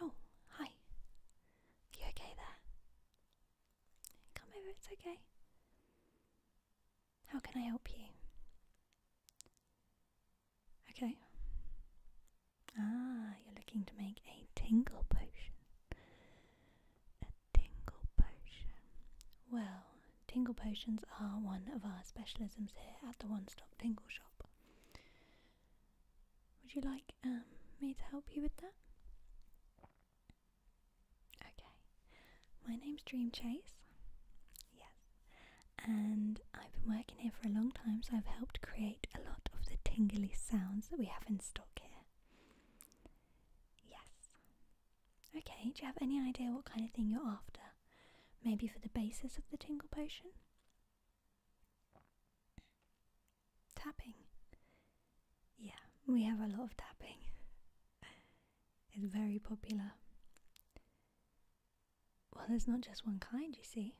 Oh, hi. You okay there? Come over, it's okay. How can I help you? Okay. Ah, you're looking to make a tingle potion. A tingle potion. Well, Tingle potions are one of our specialisms here at the One Stop Tingle Shop. Would you like um, me to help you with that? Okay. My name's Dream Chase. Yes. And I've been working here for a long time, so I've helped create a lot of the tingly sounds that we have in stock here. Yes. Okay, do you have any idea what kind of thing you're after? Maybe for the basis of the tingle potion? Tapping. Yeah, we have a lot of tapping. it's very popular. Well, there's not just one kind, you see.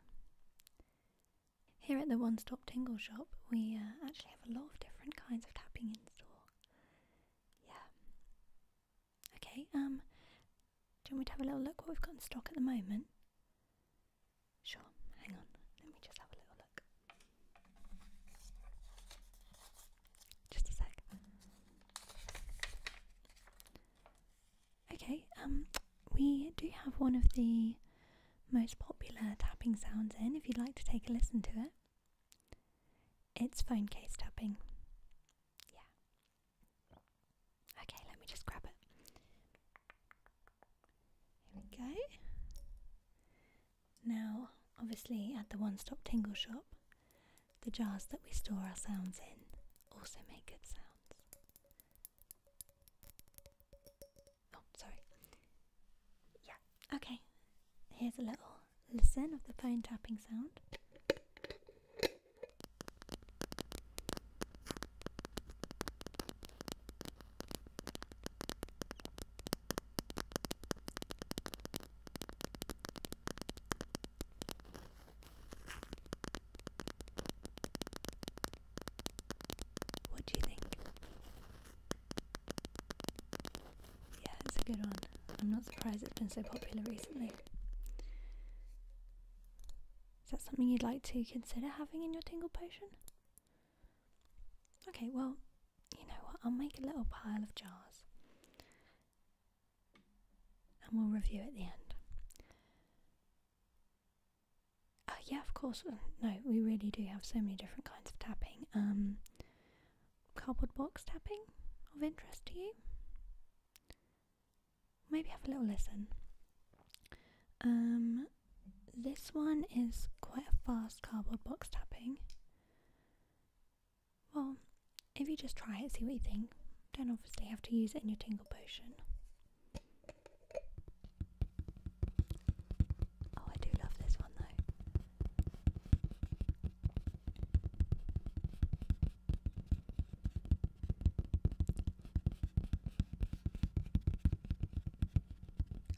Here at the One Stop Tingle Shop, we uh, actually have a lot of different kinds of tapping in store. Yeah. Okay, um, do you want me to have a little look what we've got in stock at the moment? Sure, hang on, let me just have a little look. Just a sec. Okay, um, we do have one of the most popular tapping sounds in if you'd like to take a listen to it. It's phone case tapping. Yeah. Okay, let me just grab it. Here we go. Now, obviously, at the One Stop Tingle Shop, the jars that we store our sounds in also make good sounds. Oh, sorry. Yeah, okay. Here's a little listen of the phone tapping sound. What do you think? Yeah, it's a good one. I'm not surprised it's been so popular recently. Is that something you'd like to consider having in your tingle potion? Okay, well, you know what? I'll make a little pile of jars and we'll review at the end. Oh, yeah, of course. Uh, no, we really do have so many different kinds of tapping. Um, cardboard box tapping of interest to you? Maybe have a little listen. Um, this one is quite a fast cardboard box tapping. Well, if you just try it, see what you think. Don't obviously have to use it in your tingle potion. Oh, I do love this one though.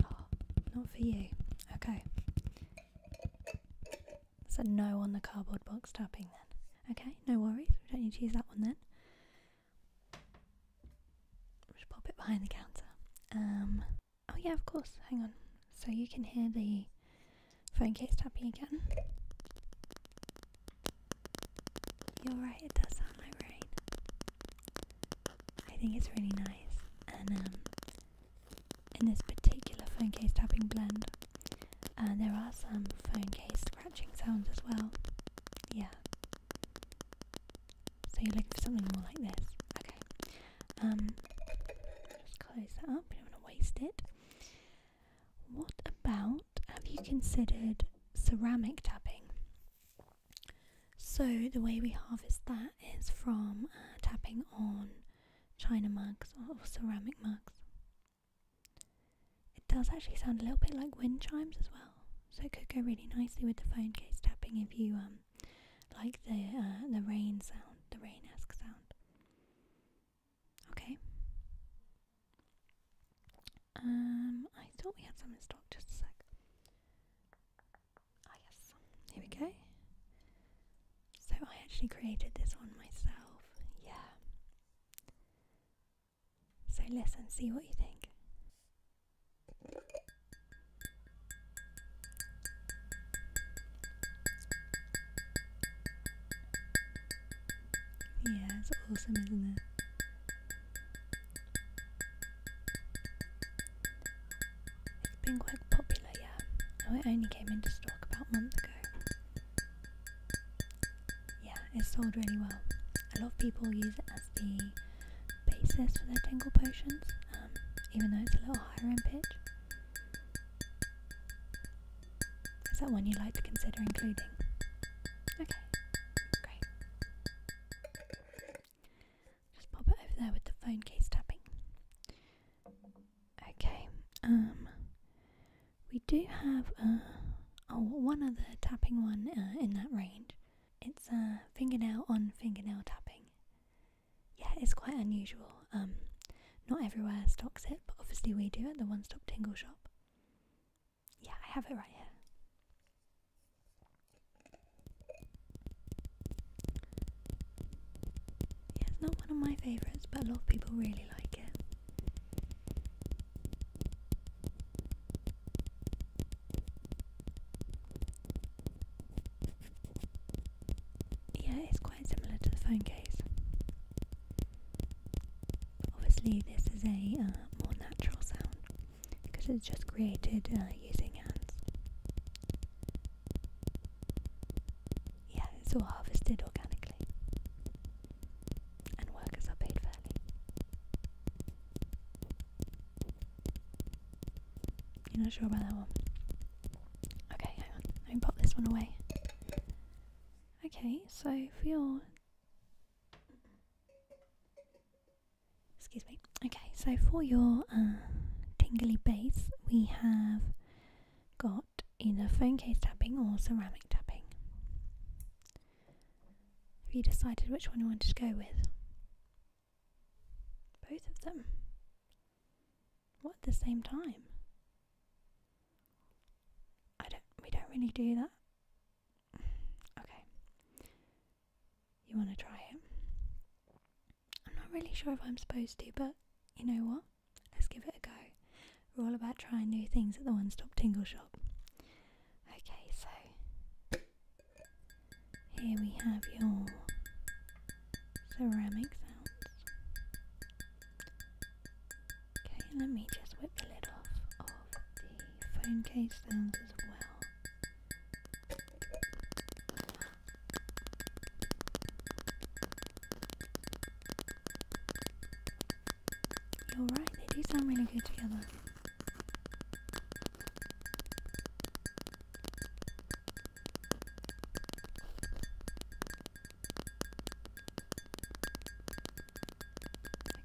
Oh, not for you. Okay. So no on the cardboard box tapping then. Okay, no worries. We don't need to use that one then. Just pop it behind the counter. Um. Oh yeah, of course. Hang on. So you can hear the phone case tapping again. You're right, it does sound like rain. I think it's really nice. And um, in this particular phone case tapping blend, uh, there are some phone case scratching sounds as well. Yeah. So you're looking for something more like this. Okay. Um, just close that up. We don't want to waste it. What about have you considered ceramic tapping? So, the way we harvest that is from uh, tapping on china mugs or ceramic mugs. It does actually sound a little bit like wind chimes as well, so it could go really nicely with the phone case tapping if you um, like the uh, the rain sound, the rain esque sound. Okay. Um, I thought we had some in stock. Just a sec. Ah, yes. Here we go. So I actually created this one myself. Yeah. So listen, see what you think. Yeah, it's awesome, isn't it? It's been quite popular, yeah. Oh, it only came into stock about a month ago. Yeah, it sold really well. A lot of people use it as the basis for their tingle potions, um, even though it's a little higher in pitch. Is that one you'd like to consider including? Okay, great. Just pop it over there with the phone case tapping. Okay, um, we do have uh, oh, one other tapping one uh, in that range. It's a uh, fingernail on fingernail tapping. Yeah, it's quite unusual. Um, not everywhere stocks it, but obviously we do at the One Stop Tingle Shop. Yeah, I have it right here. Yeah, not one of my favourites, but a lot of people really like it. Yeah, it's quite similar to the phone case. Obviously, this is a uh, more natural sound because it's just created uh, using hands. Yeah, it's all harvested organically, and workers are paid fairly. You're not sure about that one? Okay, hang on. Let me pop this one away. Okay, so for your excuse me. Okay, so for your uh, tingly base, we have got either phone case tapping or ceramic tapping. Have you decided which one you wanted to go with? Both of them. What the same time? I don't we don't really do that. Okay. You wanna try it? I'm not really sure if I'm supposed to, but you know what? Let's give it a go. We're all about trying new things at the one stop tingle shop. Okay, so here we have your ceramic sounds. Okay, let me just whip the lid off of the phone case sounds as well. You're right, they do sound really good together.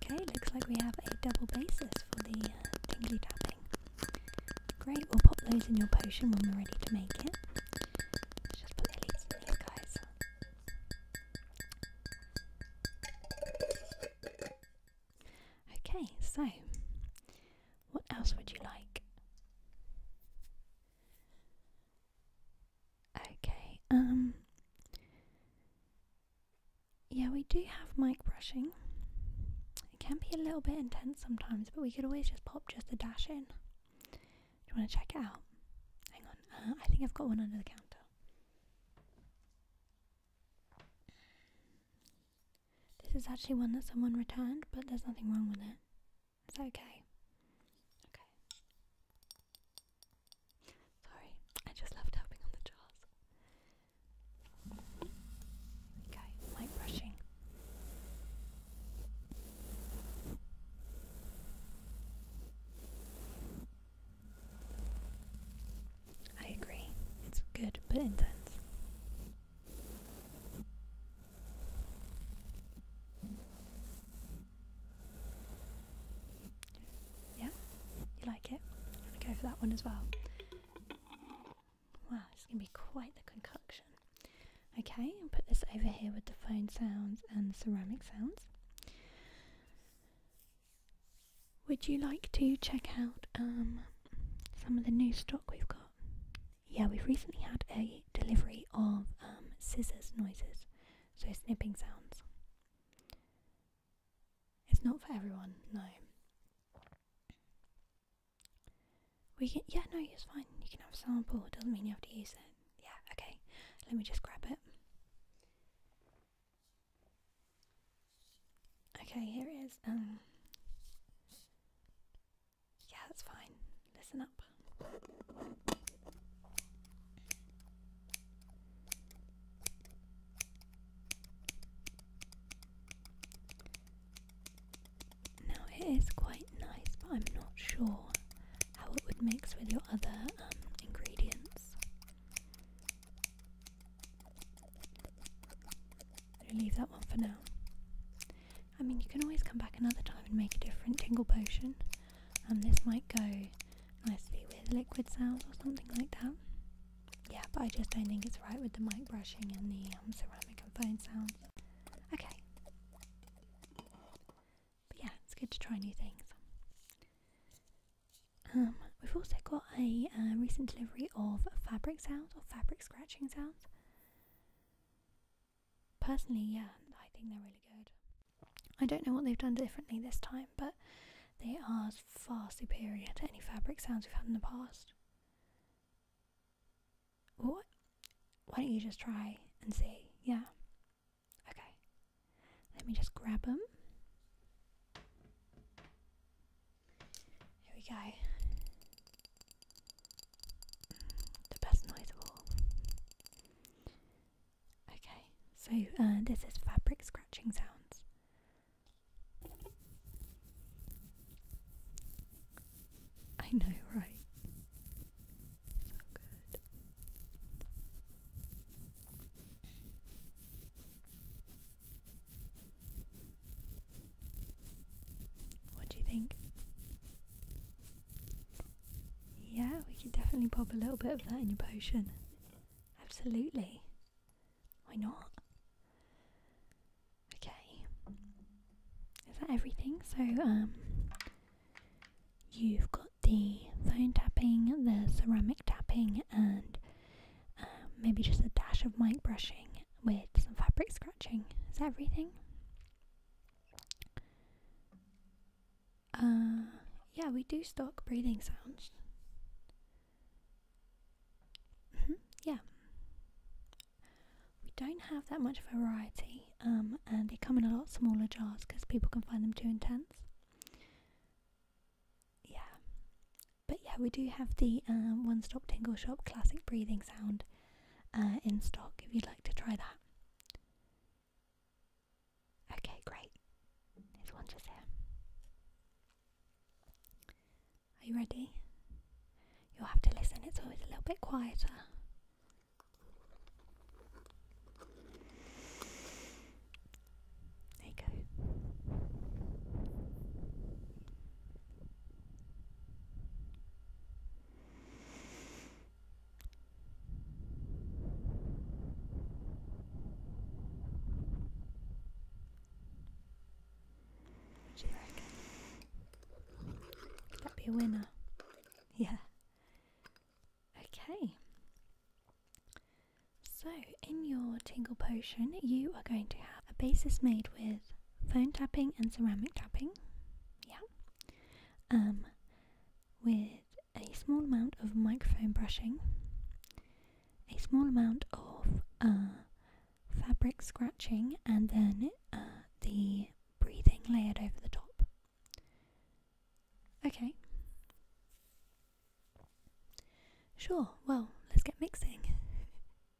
Okay, looks like we have a double basis for the uh, tingly tapping. Great, we'll pop those in your potion when we're ready to make it. Let's just put the leaves in these guys. Okay, so what else would you like? Okay, um, yeah, we do have mic brushing. It can be a little bit intense sometimes, but we could always just pop just a dash in. Do you want to check it out? Hang on, uh, I think I've got one under the counter. This is actually one that someone returned, but there's nothing wrong with it. Is that okay? Okay. Sorry, I just love tapping on the jars. Okay, mic brushing. I agree. It's good but intense. Yeah, you like it? I'm gonna go for that one as well. Wow, it's gonna be quite the concoction. Okay, and put this over here with the phone sounds and ceramic sounds. Would you like to check out um, some of the new stock we've got? Yeah, we've recently had a delivery of um, scissors noises so snipping sounds. It's not for everyone, no. We can, yeah, no, it's fine. You can have a sample, it doesn't mean you have to use it. Yeah, okay. Let me just grab it. Okay, here it is. Um, yeah, that's fine. Listen up. Now, it is quite nice, but I'm not sure how it would mix with your other um, ingredients. I'll leave that one for now. I mean, you can always come back another time and make a different tingle potion. And um, this might go nicely with liquid sounds or something like that. Yeah, but I just don't think it's right with the mic brushing and the um, ceramic and fine sounds. Okay. But yeah, it's good to try new things. Um, we've also got a uh, recent delivery of fabric sounds or fabric scratching sounds personally, yeah, I think they're really good. I don't know what they've done differently this time, but they are far superior to any fabric sounds we've had in the past. What? Why don't you just try and see? Yeah. Okay. Let me just grab them. Here we go. The best noise of all. Okay, so uh, this is fabric scratching sounds. I know, right? So good. What do you think? Yeah, we could definitely pop a little bit of that in your potion. Absolutely. Why not? Okay. Is that everything? So, um, you've got the phone tapping, the ceramic tapping, and um, maybe just a dash of mic brushing with some fabric scratching. Is that everything? Uh, yeah, we do stock breathing sounds. Mm-hmm, yeah. We don't have that much variety, um, and they come in a lot smaller jars because people can find them too intense. Yeah. But yeah, we do have the um, One Stop Tingle Shop classic breathing sound uh, in stock if you'd like to try that. Okay, great. There's one just here. Are you ready? You'll have to listen, it's always a little bit quieter. There you go. What you reckon? Could that be a winner? Yeah. Okay. So, in your tingle potion, you are going to have a basis made with phone tapping and ceramic tapping. Yeah. Um, with a small amount of microphone brushing, a small amount of uh, fabric scratching, and then uh, the breathing layered over the top. Okay. Sure, well, let's get mixing.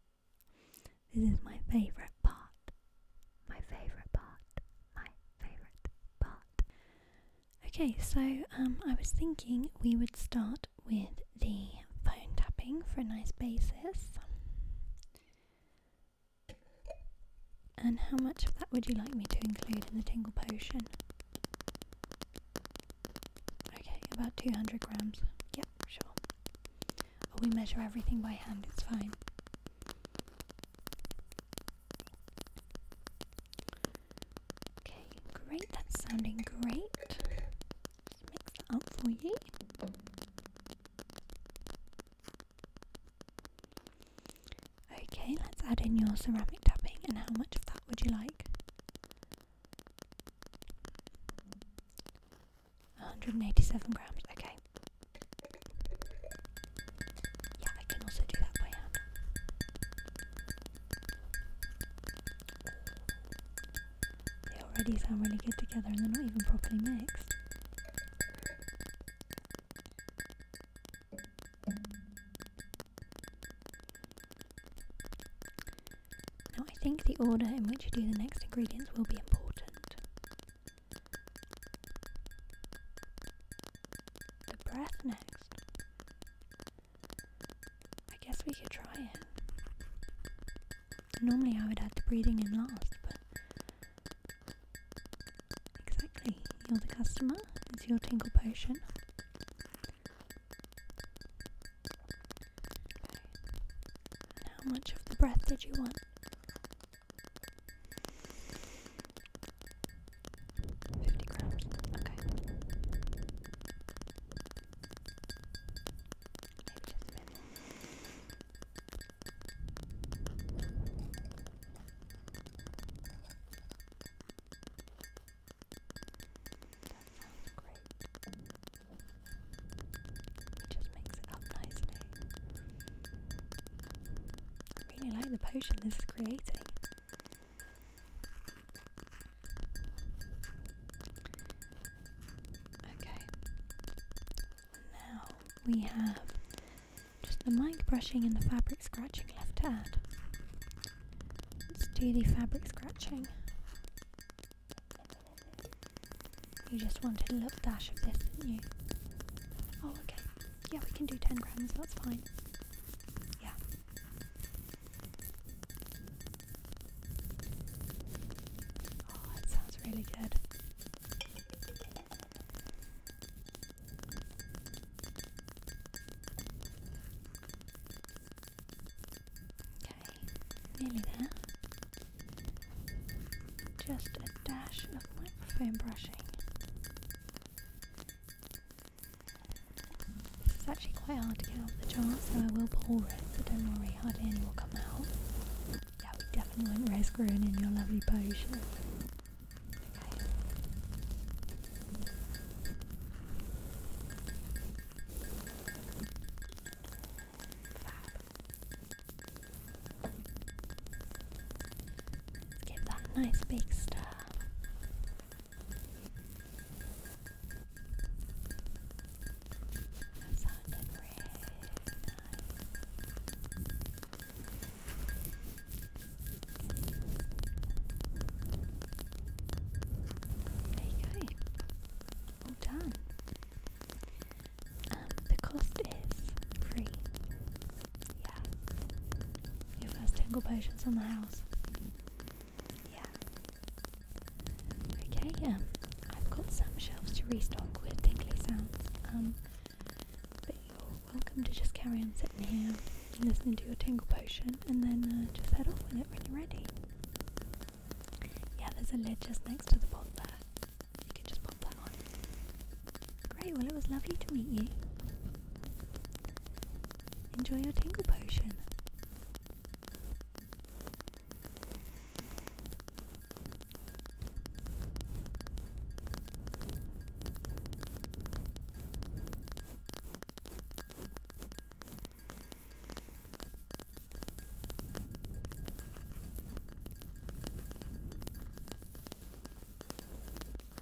this is my favourite part my favourite part, my favourite part. Okay, so um, I was thinking we would start with the phone tapping for a nice basis. And how much of that would you like me to include in the tingle potion? Okay, about 200 grams. Yep, sure. we measure everything by hand, it's fine. Okay, great. That's sounding great. let up for you. Okay, let's add in your ceramic tapping and how much of that would you like? 187 grams, okay. Yeah, I can also do that by They already sound really good together and they're not even properly mixed. Now, I think the order in which you do the next ingredients will be important. The breath next. I guess we could try it. Normally I would add the breathing in last, but. Exactly. You're the customer, it's your tingle potion. Okay. how much of the breath did you want? Fifty grams. Okay. Maybe just maybe. That sounds great. It just makes it up nicely. I really like the potion this is creating. Okay. Now we have just the mic brushing and the fabric scratching left to add. Let's do the fabric scratching. You just wanted a little dash of this, didn't you? Oh, okay. Yeah, we can do 10 grams, that's fine. Yeah. Oh, that sounds really good. Okay, nearly there. Just a dash of microphone brushing. It's actually quite hard to get out of the jar, so I will pour it, so don't worry, hardly any will come out. Yeah, we definitely won't risk ruining your lovely potion. Okay give that nice big stir. There you go. All done. Um, the cost is free. Yeah. Your first tingle potion's in the house. Yeah. Okay, um, I've got some shelves to restock with tingly sounds. Um, but you're welcome to just carry on sitting here and listening to your tingle potion and then uh, just head off with it when you're ready. Yeah, there's a lid just next to the pot there. You can just Great, well, it was lovely to meet you. Enjoy your tingle potion.